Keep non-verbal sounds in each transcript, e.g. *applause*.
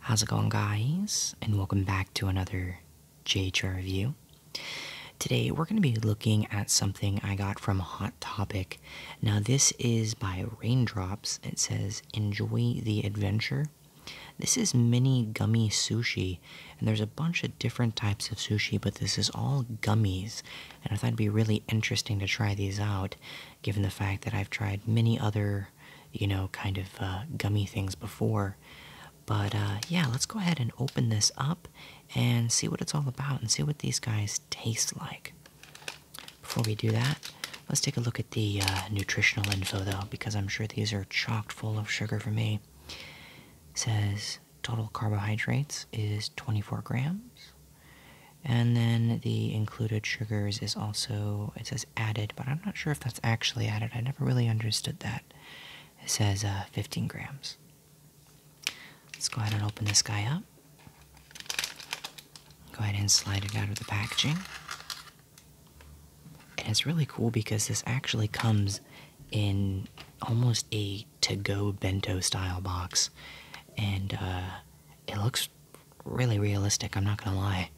How's it going guys? And welcome back to another JHR review. Today we're going to be looking at something I got from Hot Topic. Now this is by Raindrops. It says, enjoy the adventure. This is mini gummy sushi, and there's a bunch of different types of sushi, but this is all gummies and I thought it'd be really interesting to try these out, given the fact that I've tried many other, you know, kind of uh, gummy things before. But uh, yeah, let's go ahead and open this up and see what it's all about and see what these guys taste like. Before we do that, let's take a look at the uh, nutritional info though, because I'm sure these are chock full of sugar for me. says total carbohydrates is 24 grams. And then the included sugars is also, it says added, but I'm not sure if that's actually added. I never really understood that. It says uh, 15 grams. Let's go ahead and open this guy up. Go ahead and slide it out of the packaging. And it's really cool because this actually comes in almost a to go bento style box, and uh, it looks really realistic. I'm not gonna lie,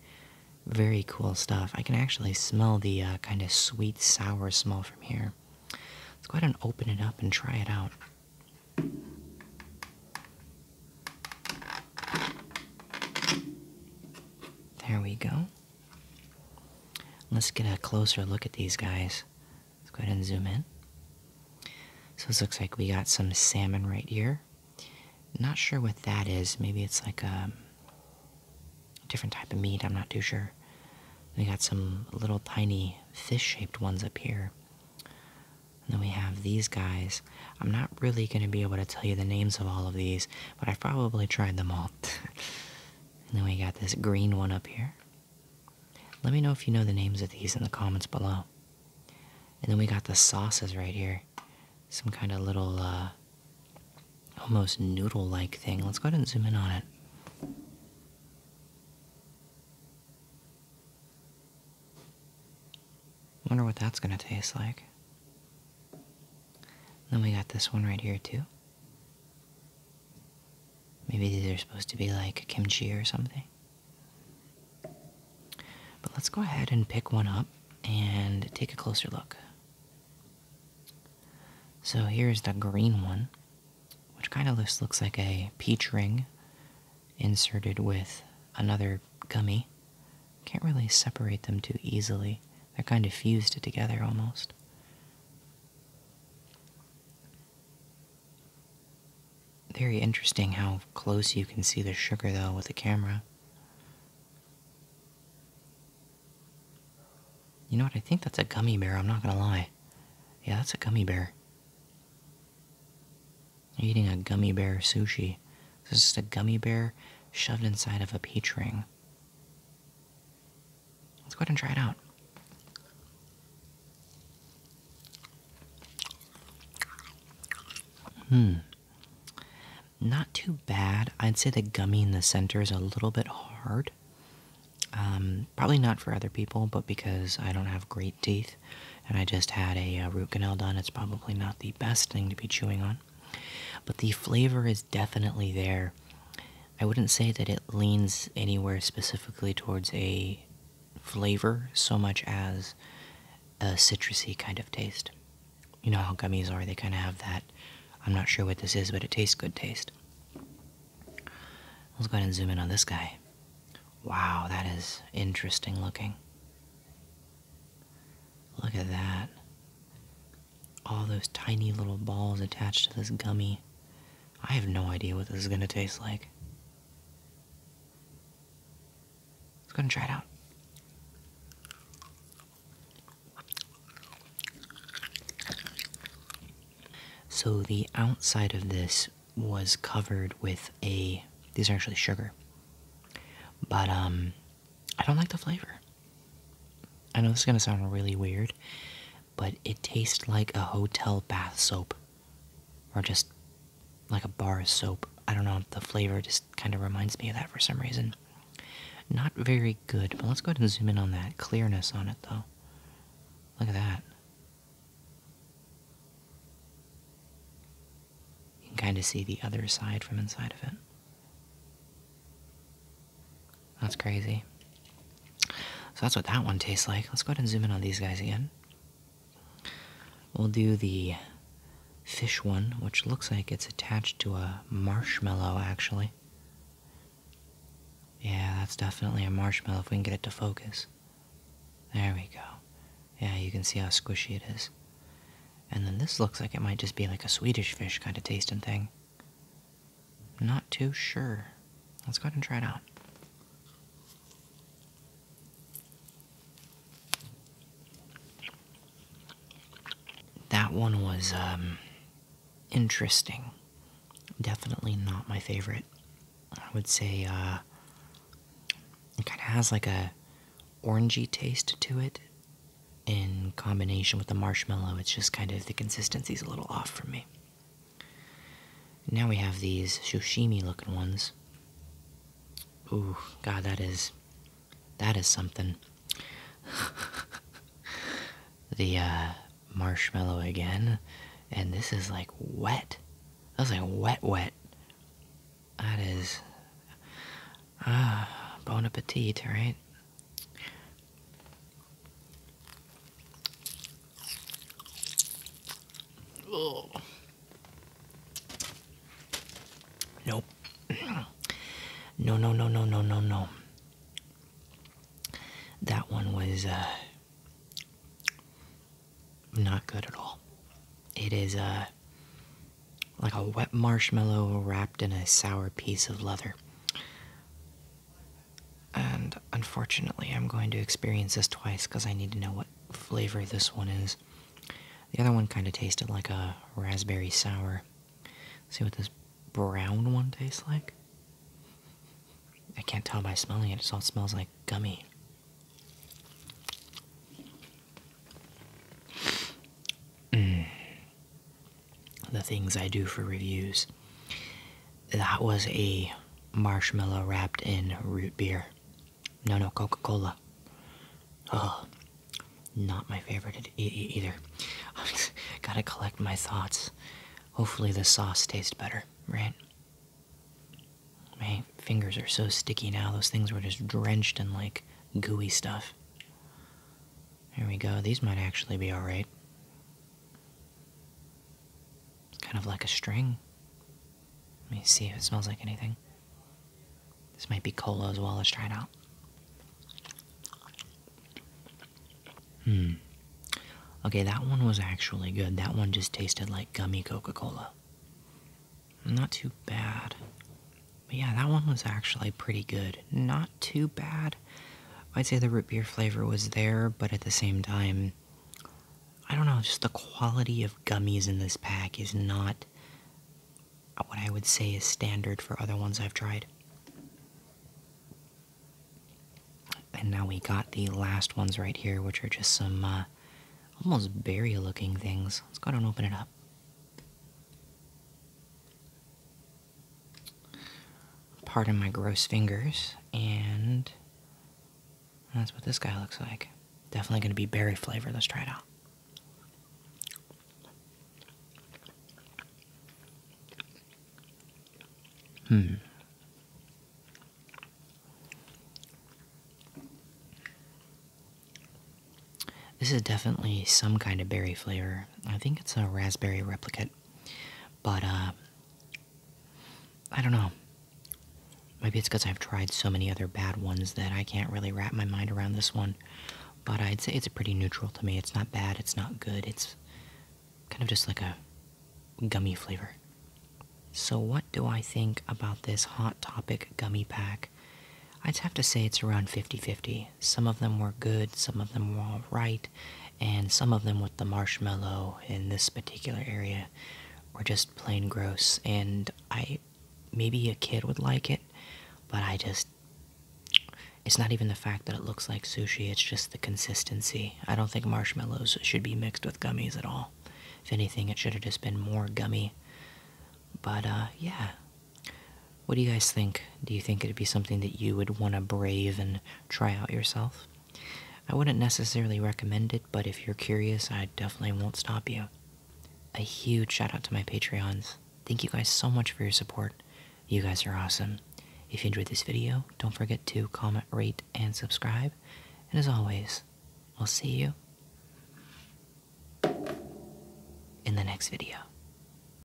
very cool stuff. I can actually smell the uh, kind of sweet sour smell from here. Let's go ahead and open it up and try it out. There we go. Let's get a closer look at these guys. Let's go ahead and zoom in. So this looks like we got some salmon right here. Not sure what that is. Maybe it's like um, a different type of meat. I'm not too sure. We got some little tiny fish-shaped ones up here. then we have these guys. I'm not really going to be able to tell you the names of all of these, but I've probably tried them all. *laughs* and then we got this green one up here. Let me know if you know the names of these in the comments below. And then we got the sauces right here. Some kind of little, uh, almost noodle like thing. Let's go ahead and zoom in on it. Wonder what that's gonna taste like. Then we got this one right here, too. Maybe these are supposed to be like kimchi or something. But let's go ahead and pick one up and take a closer look. So here's the green one, which kind of looks like a peach ring inserted with another gummy. Can't really separate them too easily. They're kind of fused together almost. Very interesting how close you can see the sugar, though, with the camera. You know what? I think that's a gummy bear, I'm not gonna lie. Yeah, that's a gummy bear. eating a gummy bear sushi. This is just a gummy bear shoved inside of a peach ring. Let's go ahead and try it out. Hmm. Not too bad. I'd say the gummy in the center is a little bit hard. Um, probably not for other people, but because I don't have great teeth and I just had a uh, root canal done, it's probably not the best thing to be chewing on. But the flavor is definitely there. I wouldn't say that it leans anywhere specifically towards a flavor so much as a citrusy kind of taste. You know how gummies are, they kind of have that. I'm not sure what this is, but it tastes good taste. Let's go ahead and zoom in on this guy. Wow, that is interesting looking. Look at that. All those tiny little balls attached to this gummy. I have no idea what this is gonna taste like. Let's go and try it out. So the outside of this was covered with a these are actually sugar. But um I don't like the flavor. I know this is gonna sound really weird, but it tastes like a hotel bath soap. Or just like a bar soap. I don't know, the flavor just kind of reminds me of that for some reason. Not very good, but let's go ahead and zoom in on that clearness on it though. Look at that. You can kind of see the other side from inside of it. That's crazy. So that's what that one tastes like. Let's go ahead and zoom in on these guys again. We'll do the fish one, which looks like it's attached to a marshmallow, actually. Yeah, that's definitely a marshmallow if we can get it to focus. There we go. Yeah, you can see how squishy it is. And then this looks like it might just be like a Swedish fish kind of tasting thing. Not too sure. Let's go ahead and try it out. That one was um, interesting. Definitely not my favorite. I would say uh, it kind of has like a orangey taste to it in combination with the marshmallow. It's just kind of the consistency is a little off for me. Now we have these sashimi looking ones. Ooh, God, that is, that is something. *laughs* the uh, marshmallow again, and this is like wet. That's like wet, wet. That is, ah, uh, bon appetit, right? Oh. No, no, no, no, no, no, no. That one was uh, not good at all. It is uh, like a wet marshmallow wrapped in a sour piece of leather. And unfortunately, I'm going to experience this twice because I need to know what flavor this one is. The other one kind of tasted like a raspberry sour. see what this brown one tastes like? I can't tell by smelling it, it just all smells like gummy. Mm the things I do for reviews. That was a marshmallow wrapped in root beer. No, no, Coca Cola. Oh, not my favorite e e either. *laughs* Gotta collect my thoughts. Hopefully, the sauce tastes better, right? My fingers are so sticky now, those things were just drenched in like gooey stuff. Here we go, these might actually be alright kind of like a string. Let me see if it smells like anything. This might be cola as well. Let's try it out. Hmm. Okay, that one was actually good. That one just tasted like gummy Coca Cola. Not too bad. But yeah, that one was actually pretty good. Not too bad. I'd say the root beer flavor was there, but at the same time, I don't know, just the quality of gummies in this pack is not what I would say is standard for other ones I've tried. And now we got the last ones right here, which are just some uh, almost berry looking things. Let's go ahead and open it up. Pardon my gross fingers, and that's what this guy looks like. Definitely gonna be berry flavor. Let's try it out. Hmm. This is definitely some kind of berry flavor. I think it's a raspberry replicate. But, uh, I don't know. Maybe it's because I've tried so many other bad ones that I can't really wrap my mind around this one. But I'd say it's pretty neutral to me. It's not bad, it's not good, it's kind of just like a gummy flavor. So, what do I think about this Hot Topic gummy pack? I'd have to say it's around 50 50. Some of them were good, some of them were all right, and some of them with the marshmallow in this particular area were just plain gross. And I, maybe a kid would like it, but I just, it's not even the fact that it looks like sushi, it's just the consistency. I don't think marshmallows should be mixed with gummies at all. If anything, it should have just been more gummy. But, uh, yeah, what do you guys think? Do you think it'd be something that you would want to brave and try out yourself? I wouldn't necessarily recommend it, but if you're curious, I definitely won't stop you. A huge shout out to my Patreons. Thank you guys so much for your support. You guys are awesome. If you enjoyed this video, don't forget to comment, rate, and subscribe. And as always, we'll see you in the next video.